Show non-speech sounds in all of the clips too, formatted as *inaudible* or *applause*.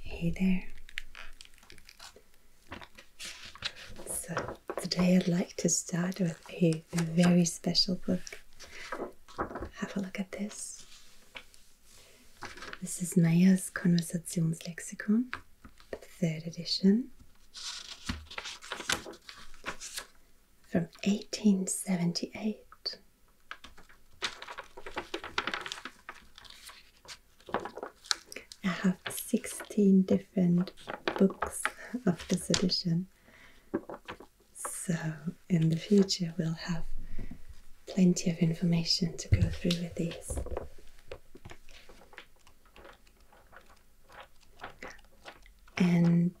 Hey there. So, today I'd like to start with a very special book. Have a look at this. This is Maya's Meyer's Lexicon, the third edition from 1878. I have 16 different books of this edition, so in the future we'll have plenty of information to go through with these and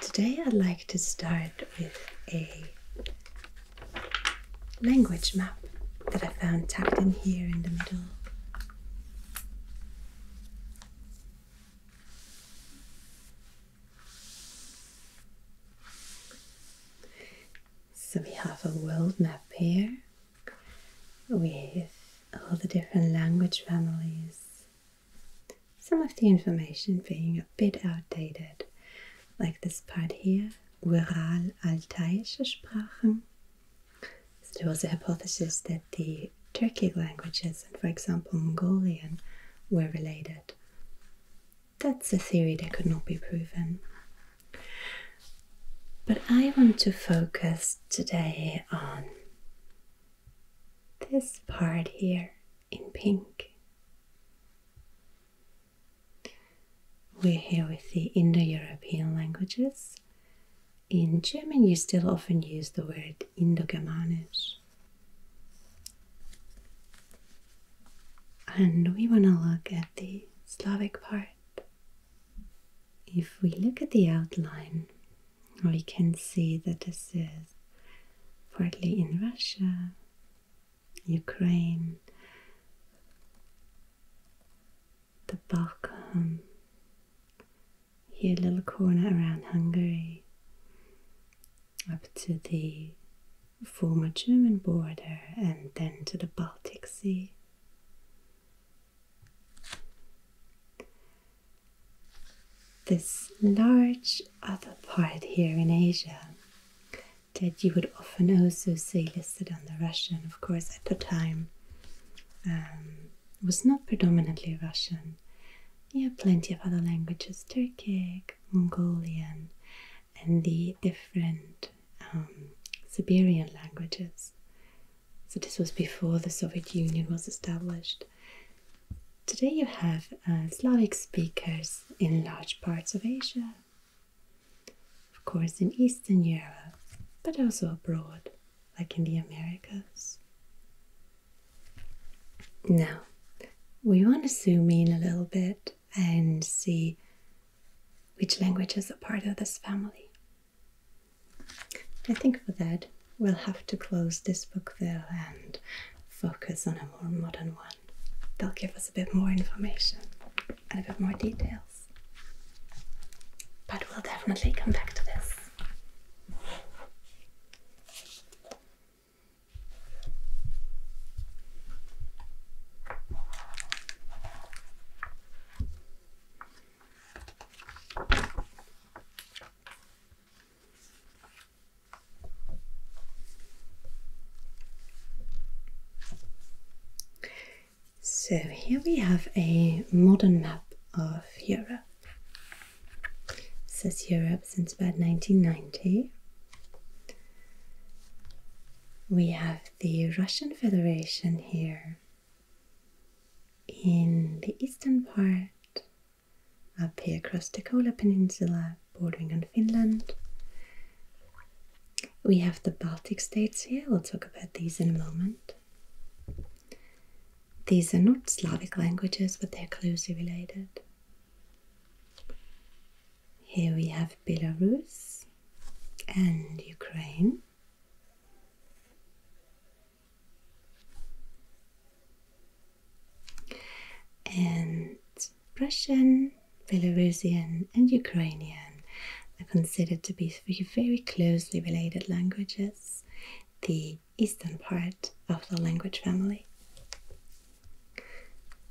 today I'd like to start with a language map that I found tucked in here in the middle. So we have a world map here with all the different language families some of the information being a bit outdated, like this part here, Ural altaic languages. there was a hypothesis that the Turkic languages and, for example, Mongolian were related. That's a theory that could not be proven. But I want to focus today on this part here in pink. We're here with the Indo European languages. In German, you still often use the word Indo-Germanisch. And we want to look at the Slavic part. If we look at the outline, we can see that this is partly in Russia, Ukraine, the Balkan, here a little corner around Hungary, up to the former German border and then to the Baltic Sea this large other part here in Asia that you would often also see listed on the Russian, of course, at the time um, was not predominantly Russian. You had plenty of other languages, Turkic, Mongolian, and the different um, Siberian languages. So this was before the Soviet Union was established. Today you have uh, Slavic speakers in large parts of Asia, of course in Eastern Europe, but also abroad, like in the Americas. Now, we want to zoom in a little bit and see which languages are part of this family. I think for that we'll have to close this book there and focus on a more modern one. They'll give us a bit more information and a bit more details. But we'll definitely come back to this. So here we have a modern map of Europe. It says Europe since about 1990. We have the Russian Federation here in the eastern part up here across the Kola Peninsula, bordering on Finland. We have the Baltic states here, we'll talk about these in a moment. These are not Slavic languages, but they're closely related. Here we have Belarus and Ukraine. And Russian, Belarusian, and Ukrainian are considered to be very closely related languages, the eastern part of the language family.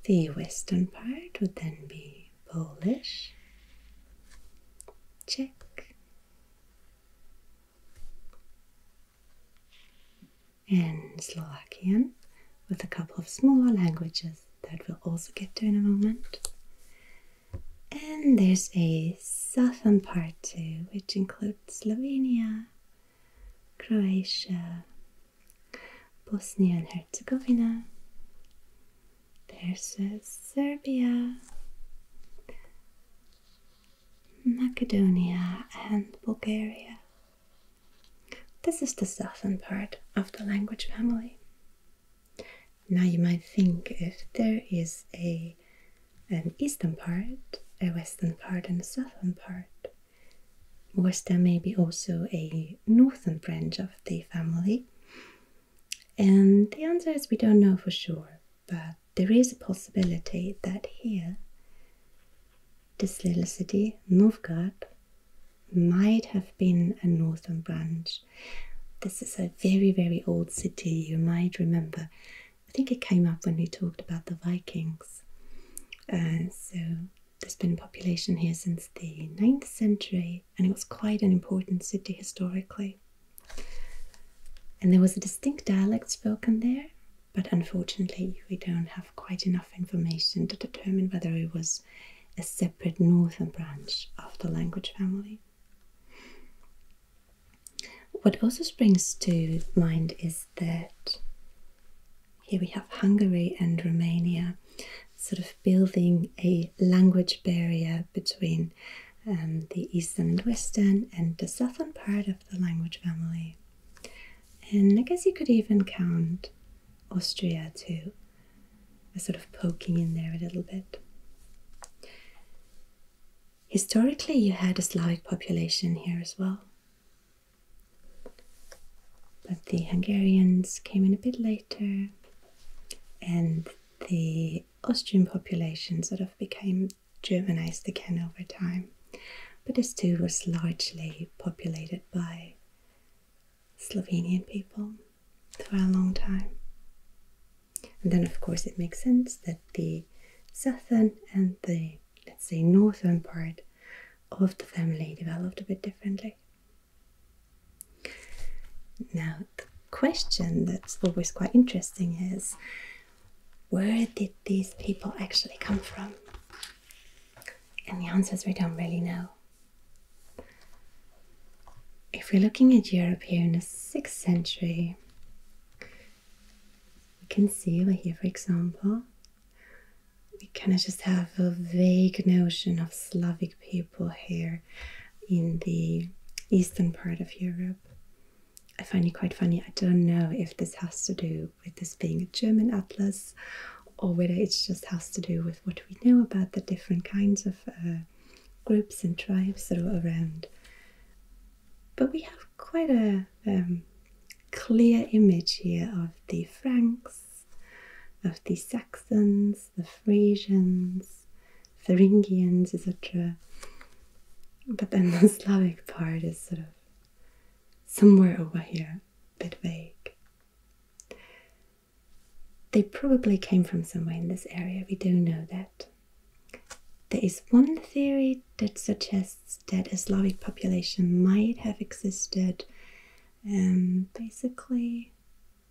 The western part would then be Polish, Czech, and Slovakian with a couple of smaller languages that we'll also get to in a moment. And there's a southern part too, which includes Slovenia, Croatia, Bosnia and Herzegovina. There's Serbia, Macedonia and Bulgaria. This is the southern part of the language family. Now you might think if there is a an eastern part, a western part and a southern part, was there maybe also a northern branch of the family? And the answer is we don't know for sure, but there is a possibility that here, this little city, Novgorod, might have been a northern branch. This is a very, very old city, you might remember. I think it came up when we talked about the Vikings. Uh, so there's been a population here since the 9th century, and it was quite an important city historically. And there was a distinct dialect spoken there, but unfortunately, we don't have quite enough information to determine whether it was a separate northern branch of the language family. What also springs to mind is that here we have Hungary and Romania sort of building a language barrier between and um, the Eastern and Western, and the southern part of the language family. And I guess you could even count Austria too, as uh, sort of poking in there a little bit. Historically, you had a Slavic population here as well. But the Hungarians came in a bit later, and the Austrian population sort of became Germanized again over time. But this too was largely populated by Slovenian people for a long time. And then, of course, it makes sense that the southern and the, let's say, northern part of the family developed a bit differently. Now, the question that's always quite interesting is where did these people actually come from? And the answer is we don't really know. If we're looking at Europe here in the 6th century, we can see over here, for example, we kind of just have a vague notion of Slavic people here in the eastern part of Europe. I find it quite funny. I don't know if this has to do with this being a German atlas or whether it just has to do with what we know about the different kinds of uh, groups and tribes that are around. But we have quite a um, clear image here of the Franks, of the Saxons, the Frisians, Thuringians, etc. But then the *laughs* Slavic part is sort of somewhere over here, a bit vague. They probably came from somewhere in this area, we do know that. There is one theory that suggests that a Slavic population might have existed um, basically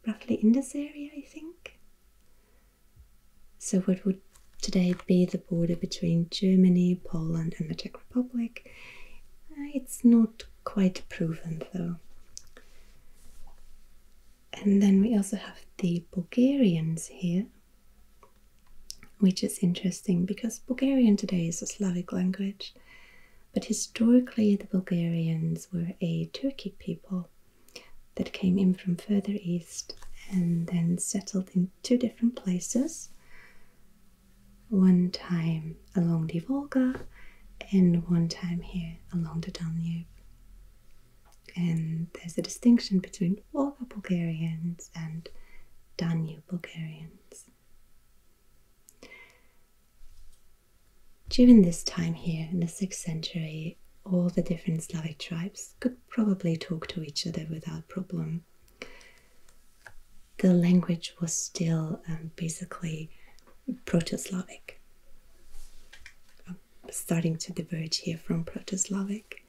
roughly in this area, I think. So, what would today be the border between Germany, Poland, and the Czech Republic? Uh, it's not quite proven though. And then we also have the Bulgarians here, which is interesting because Bulgarian today is a Slavic language, but historically the Bulgarians were a Turkic people that came in from further east and then settled in two different places. One time along the Volga and one time here along the Danube. And there's a distinction between Volga Bulgarians and Danube Bulgarians. During this time here in the 6th century, all the different Slavic tribes could probably talk to each other without problem. The language was still um, basically Proto Slavic. starting to diverge here from Proto Slavic.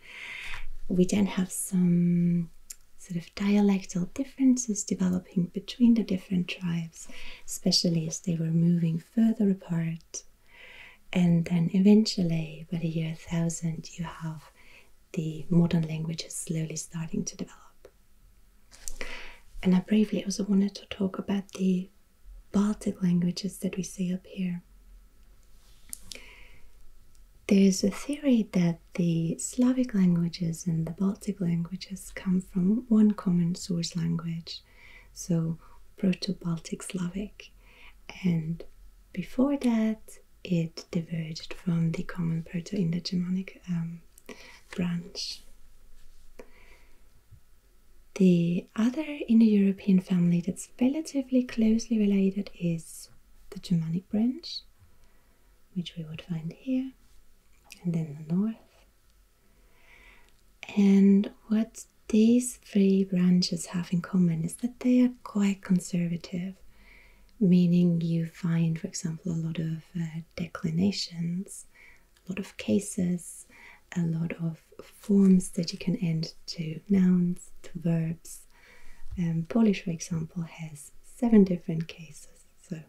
We then have some sort of dialectal differences developing between the different tribes, especially as they were moving further apart and then eventually, by the year 1000, you have the modern languages slowly starting to develop. And I briefly also wanted to talk about the Baltic languages that we see up here. There's a theory that the Slavic languages and the Baltic languages come from one common source language, so Proto Baltic Slavic and before that, it diverged from the common Proto Indo Germanic um, branch. The other Indo European family that's relatively closely related is the Germanic branch, which we would find here, and then the north. And what's these three branches have in common is that they are quite conservative, meaning you find, for example, a lot of uh, declinations, a lot of cases, a lot of forms that you can add to nouns, to verbs. Um, Polish, for example, has seven different cases, so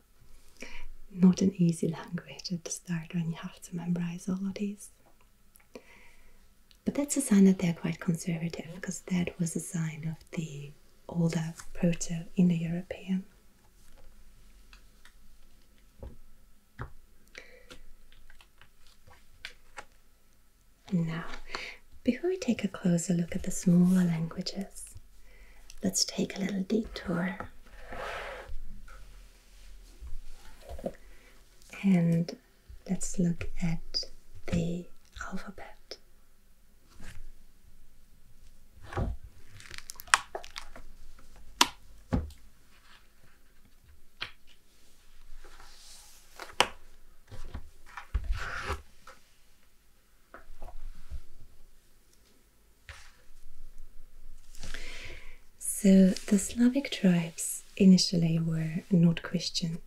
not an easy *laughs* language at the start when you have to memorize all of these. But that's a sign that they're quite conservative, because that was a sign of the older Proto Indo European. Now, before we take a closer look at the smaller languages, let's take a little detour. And let's look at the alphabet. So the Slavic tribes initially were not Christian,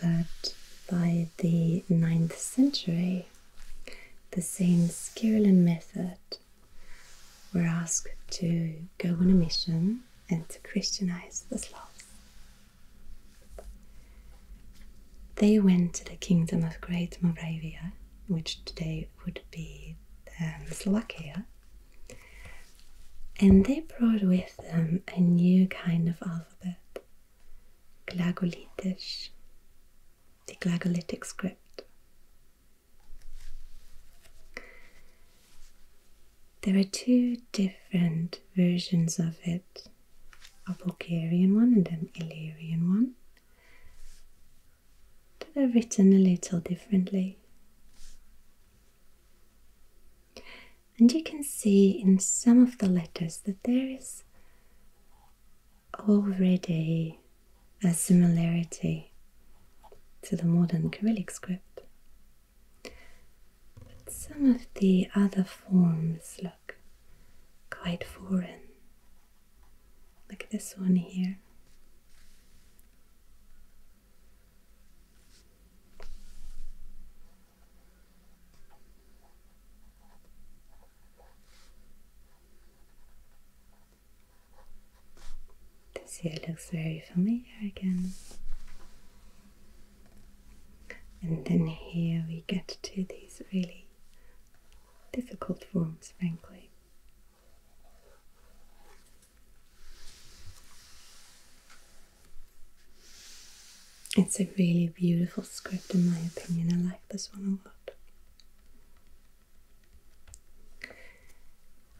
but by the 9th century, the Saints Cyril and Method were asked to go on a mission and to Christianize the Slavs. They went to the kingdom of Great Moravia, which today would be um, Slovakia, and they brought with them a new kind of alphabet, Glagolitish, the Glagolitic script. There are two different versions of it a Bulgarian one and an Illyrian one they are written a little differently. And you can see in some of the letters that there is already a similarity to the modern Cyrillic script. But some of the other forms look quite foreign. Like this one here. This here looks very familiar again. And then here we get to these really difficult forms, frankly. It's a really beautiful script, in my opinion. I like this one a lot.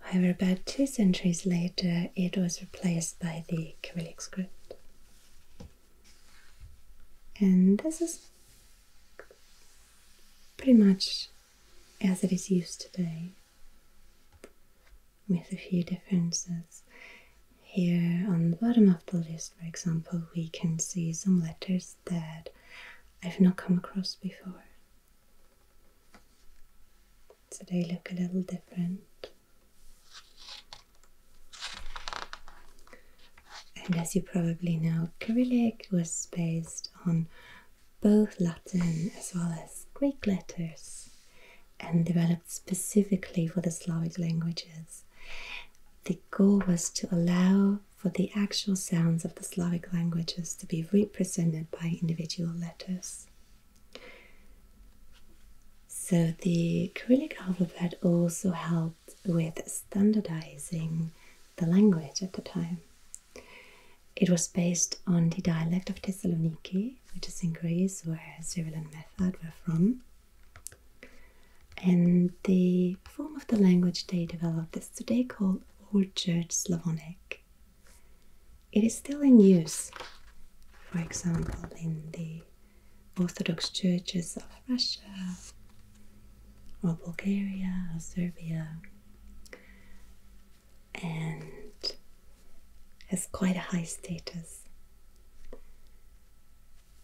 However, about two centuries later, it was replaced by the Cyrillic script. And this is pretty much as it is used today, with a few differences. Here on the bottom of the list, for example, we can see some letters that I've not come across before. So they look a little different. And as you probably know, Cyrillic was based on both Latin as well as Greek letters and developed specifically for the Slavic languages. The goal was to allow for the actual sounds of the Slavic languages to be represented by individual letters. So the Cyrillic alphabet also helped with standardizing the language at the time. It was based on the dialect of Thessaloniki, which is in Greece, where Cyril and Method were from. And the form of the language they developed is today called Old Church Slavonic. It is still in use, for example, in the Orthodox churches of Russia, or Bulgaria, or Serbia, and has quite a high status.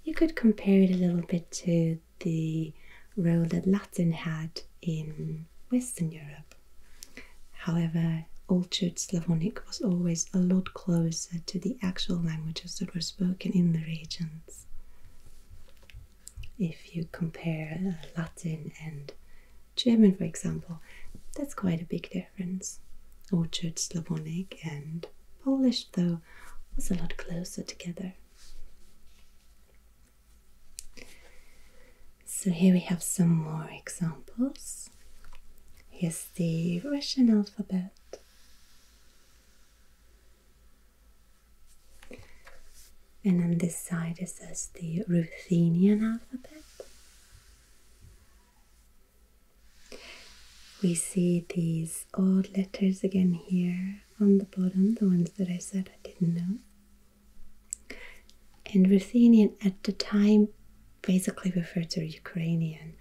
You could compare it a little bit to the role that Latin had in Western Europe. However, Old Church Slavonic was always a lot closer to the actual languages that were spoken in the regions. If you compare uh, Latin and German, for example, that's quite a big difference. Orchard Slavonic and Polish, though, was a lot closer together. So here we have some more examples. Here's the Russian alphabet and on this side it says the Ruthenian alphabet. We see these odd letters again here on the bottom, the ones that I said I didn't know. And Ruthenian at the time basically referred to Ukrainian.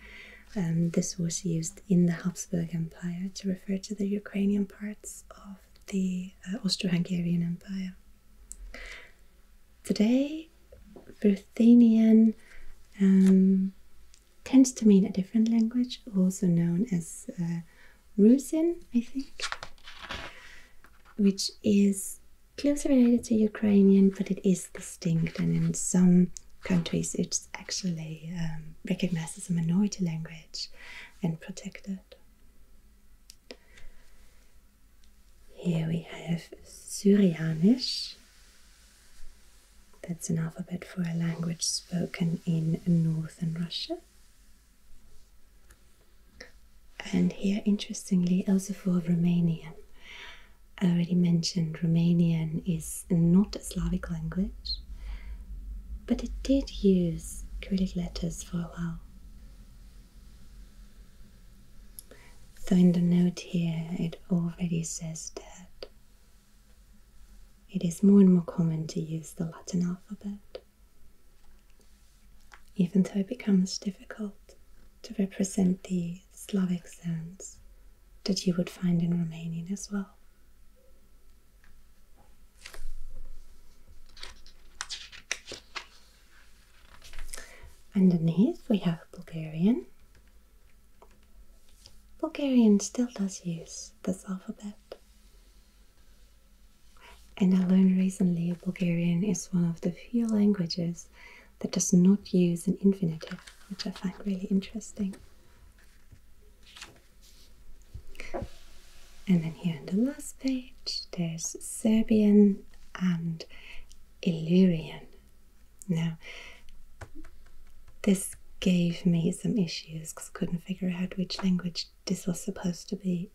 Um, this was used in the Habsburg Empire to refer to the Ukrainian parts of the uh, Austro Hungarian Empire. Today, Ruthenian um, tends to mean a different language, also known as uh, Rusyn, I think, which is closely related to Ukrainian, but it is distinct, and in some countries, it's actually um, recognized as a minority language and protected. Here we have Syrianisch. That's an alphabet for a language spoken in northern Russia. And here, interestingly, also for Romanian. I already mentioned Romanian is not a Slavic language, but it did use Cyrillic letters for a while. So in the note here it already says that it is more and more common to use the Latin alphabet, even though it becomes difficult to represent the Slavic sounds that you would find in Romanian as well. Underneath we have Bulgarian. Bulgarian still does use this alphabet. And I learned recently Bulgarian is one of the few languages that does not use an infinitive, which I find really interesting. And then here on the last page, there's Serbian and Illyrian. Now, this gave me some issues because I couldn't figure out which language this was supposed to be.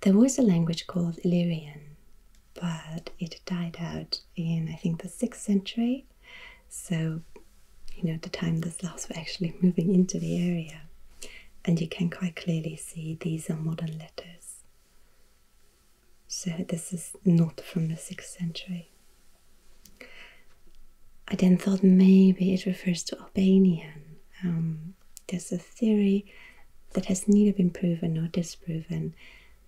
There was a language called Illyrian, but it died out in, I think, the 6th century. So, you know, the time the Slavs were actually moving into the area and you can quite clearly see these are modern letters. So this is not from the 6th century. I then thought maybe it refers to Albanian. Um, there's a theory that has neither been proven nor disproven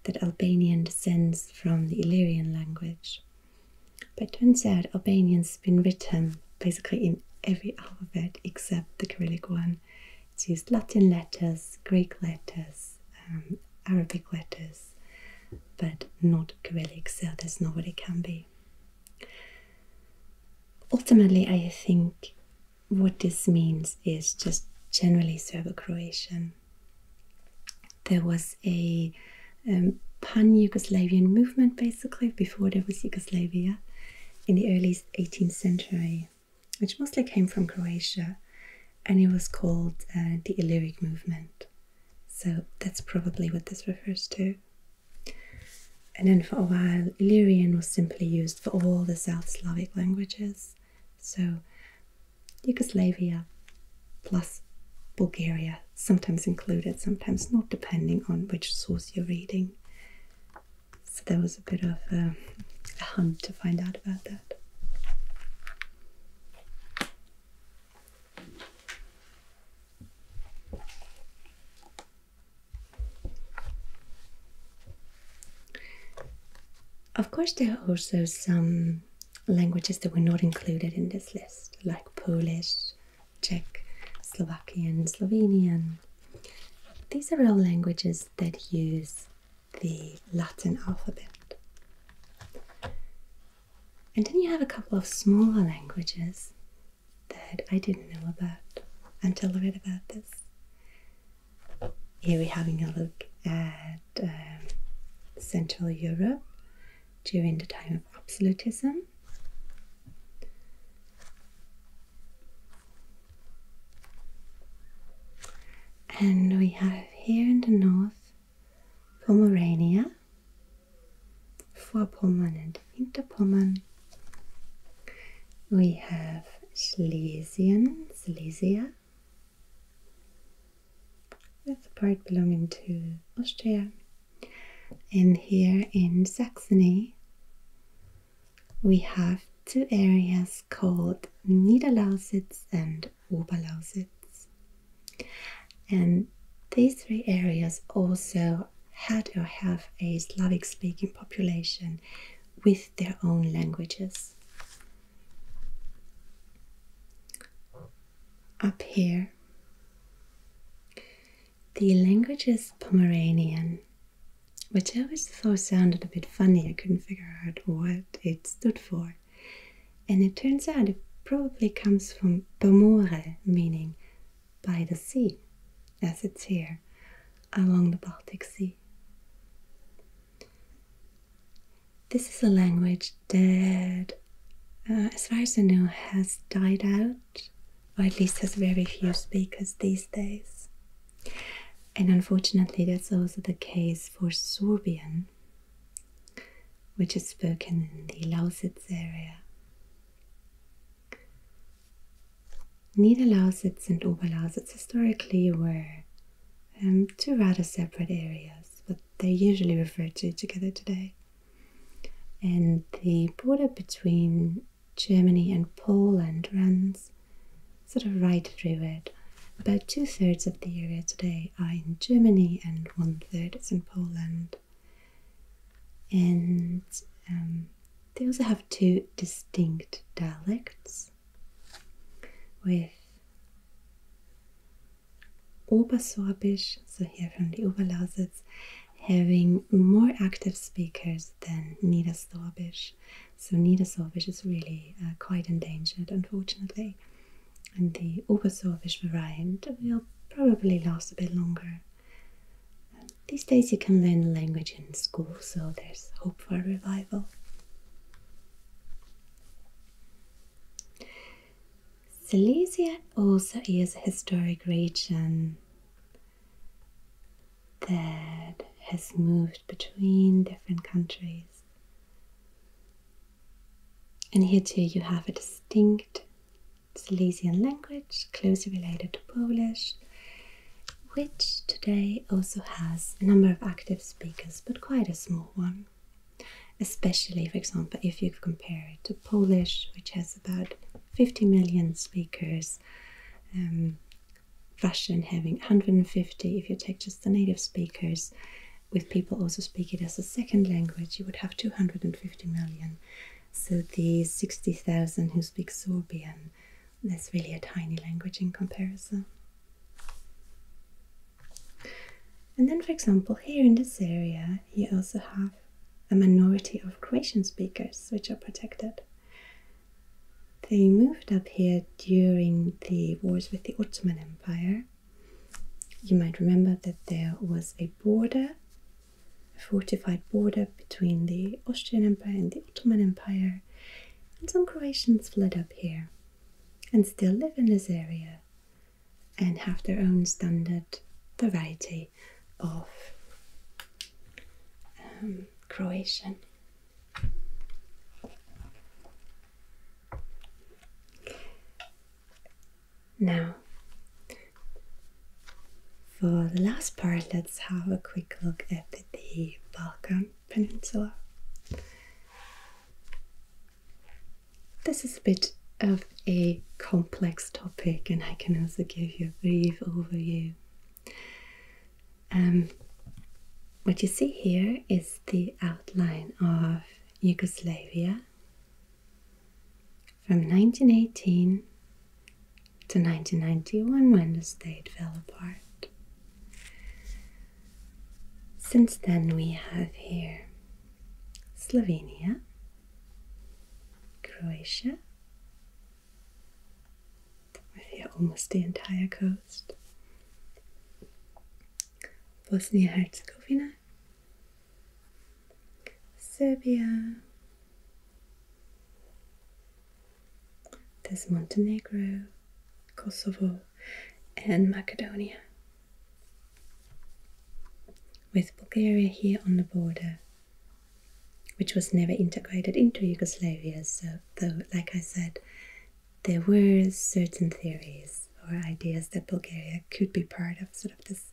that Albanian descends from the Illyrian language. But it turns out Albanian's been written basically in every alphabet except the Cyrillic one. It's used Latin letters, Greek letters, um, Arabic letters, but not Cyrillic, so there's not it can be. Ultimately, I think what this means is just generally Serbo Croatian. There was a um, pan Yugoslavian movement based before there was Yugoslavia in the early 18th century, which mostly came from Croatia and it was called uh, the Illyric movement. So that's probably what this refers to. And then for a while, Illyrian was simply used for all the South Slavic languages. So Yugoslavia plus Bulgaria, sometimes included, sometimes not, depending on which source you're reading so there was a bit of uh, a hunt to find out about that. Of course, there are also some languages that were not included in this list, like Polish, Czech, Slovakian, Slovenian. These are all languages that use the Latin alphabet. And then you have a couple of smaller languages that I didn't know about until a bit about this. Here we're having a look at um, Central Europe during the time of absolutism and we have here in the north Pomerania, Vorpommern and Winterpommern. We have Silesian Silesia, with the part belonging to Austria and here in Saxony, we have two areas called Niederlausitz and Oberlausitz. And these three areas also had or have a Slavic speaking population with their own languages. Up here, the language is Pomeranian, which I always thought sounded a bit funny. I couldn't figure out what it stood for. And it turns out it probably comes from Pomore, meaning by the sea, as it's here, along the Baltic Sea. This is a language that, uh, as far as I know, has died out or at least has very few speakers these days. And unfortunately, that's also the case for Sorbian, which is spoken in the Lausitz area. Niederlausitz and Oberlausitz historically were um, two rather separate areas, but they're usually referred to together today and the border between Germany and Poland runs sort of right through it. About two thirds of the area today are in Germany, and one third is in Poland. And um, they also have two distinct dialects with Obersorbisch, so here from the Oberlausitz, having more active speakers than Nida Slavish. So Nida Slavish is really uh, quite endangered, unfortunately. And the Obersorbish variant will probably last a bit longer. these days you can learn the language in school, so there's hope for revival. Silesia also is a historic region that has moved between different countries. And here too you have a distinct Silesian language, closely related to Polish, which today also has a number of active speakers, but quite a small one. Especially, for example, if you compare it to Polish, which has about 50 million speakers, um, Russian having 150. If you take just the native speakers, with people also speak it as a second language, you would have 250 million. So the 60,000 who speak Sorbian, that's really a tiny language in comparison. And then, for example, here in this area, you also have a minority of Croatian speakers which are protected. They moved up here during the wars with the Ottoman Empire. You might remember that there was a border, a fortified border between the Austrian Empire and the Ottoman Empire, and some Croatians fled up here and still live in this area and have their own standard variety of um, Croatian. Now, for the last part, let's have a quick look at the Balkan Peninsula. This is a bit of a complex topic, and I can also give you a brief overview. Um, what you see here is the outline of Yugoslavia from 1918 to 1991 when the state fell apart. Since then, we have here Slovenia, Croatia. With almost the entire coast. Bosnia Herzegovina, Serbia, there's Montenegro, Kosovo, and Macedonia. With Bulgaria here on the border which was never integrated into Yugoslavia. So, like I said, there were certain theories or ideas that Bulgaria could be part of sort of this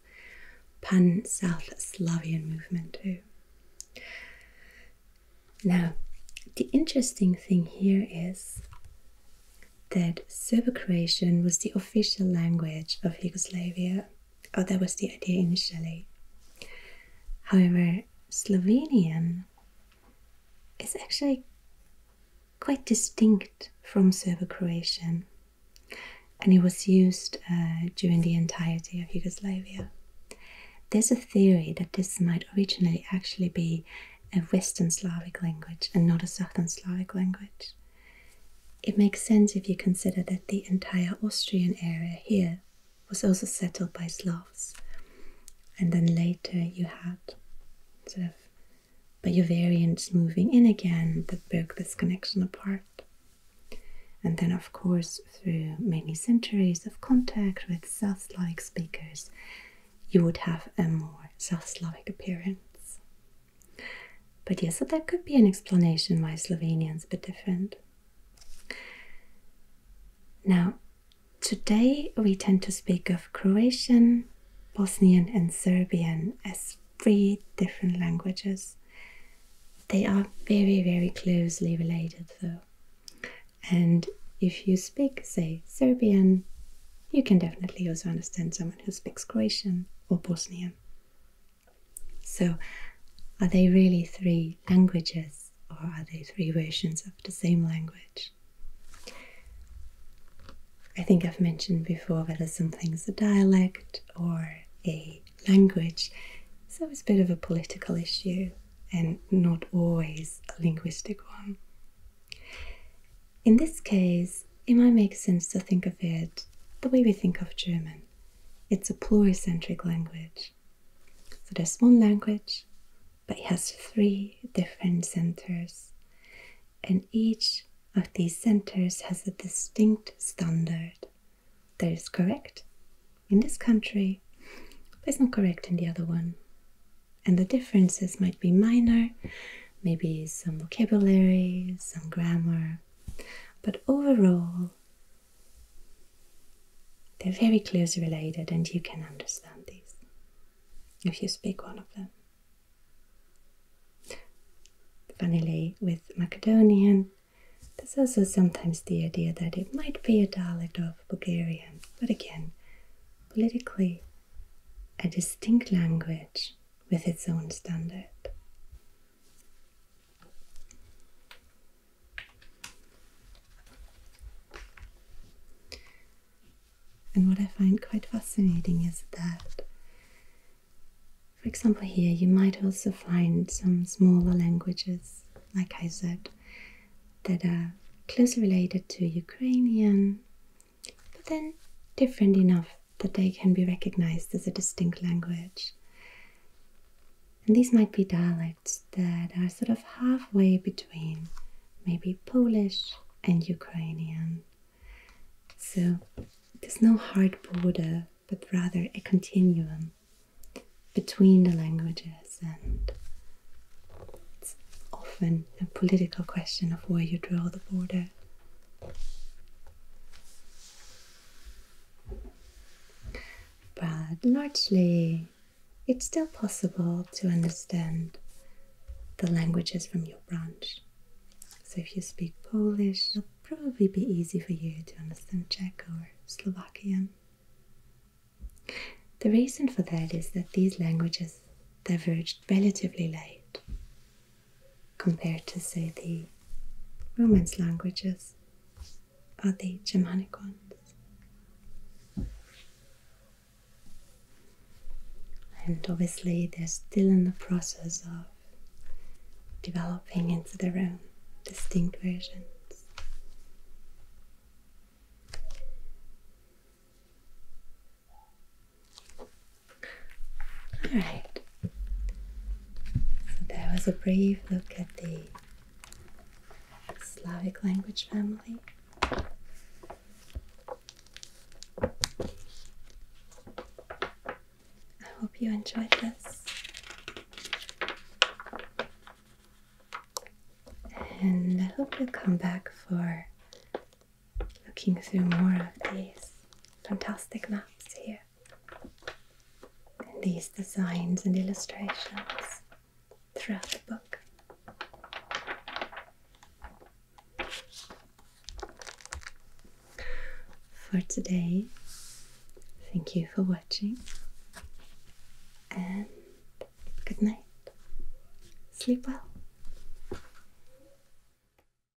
pan South Slavian movement too. Now, the interesting thing here is that Serbo Croatian was the official language of Yugoslavia Oh, that was the idea initially. However, Slovenian is actually quite distinct from Serbo Croatian and it was used uh, during the entirety of Yugoslavia. There's a theory that this might originally actually be a Western Slavic language and not a Southern Slavic language. It makes sense if you consider that the entire Austrian area here was also settled by Slavs, and then later you had sort of variants moving in again that broke this connection apart. And then, of course, through many centuries of contact with South Slavic speakers, you would have a more South Slavic appearance. But yes, so that could be an explanation why is a bit different. Now, today we tend to speak of Croatian, Bosnian, and Serbian as three different languages. They are very, very closely related, though. And if you speak, say, Serbian, you can definitely also understand someone who speaks Croatian or Bosnian. So, are they really three languages or are they three versions of the same language? I think I've mentioned before whether something's a dialect or a language, so it's a bit of a political issue and not always a linguistic one. In this case, it might make sense to think of it the way we think of German. It's a pluricentric language. So there's one language, but it has three different centers, and each of these centers has a distinct standard that is correct in this country, but it's not correct in the other one. And the differences might be minor, maybe some vocabulary, some grammar, but overall, they're very closely related, and you can understand these if you speak one of them. Finally, with Macedonian, there's also sometimes the idea that it might be a dialect of Bulgarian, but again, politically, a distinct language with its own standard. And what I find quite fascinating is that, for example, here you might also find some smaller languages, like I said, that are closely related to Ukrainian, but then different enough that they can be recognized as a distinct language. And these might be dialects that are sort of halfway between maybe Polish and Ukrainian. So there's no hard border, but rather a continuum between the languages and it's often a political question of where you draw the border but largely, it's still possible to understand the languages from your branch. So if you speak Polish, it'll probably be easy for you to understand Czech or Slovakian. The reason for that is that these languages diverged relatively late compared to, say, the Romance languages or the Germanic ones. And obviously, they're still in the process of developing into their own distinct versions. Alright, so that was a brief look at the Slavic language family. I hope you enjoyed this. And I hope you come back for looking through more of these fantastic maps here and these designs and illustrations throughout the book. For today, thank you for watching and good night. Sleep well.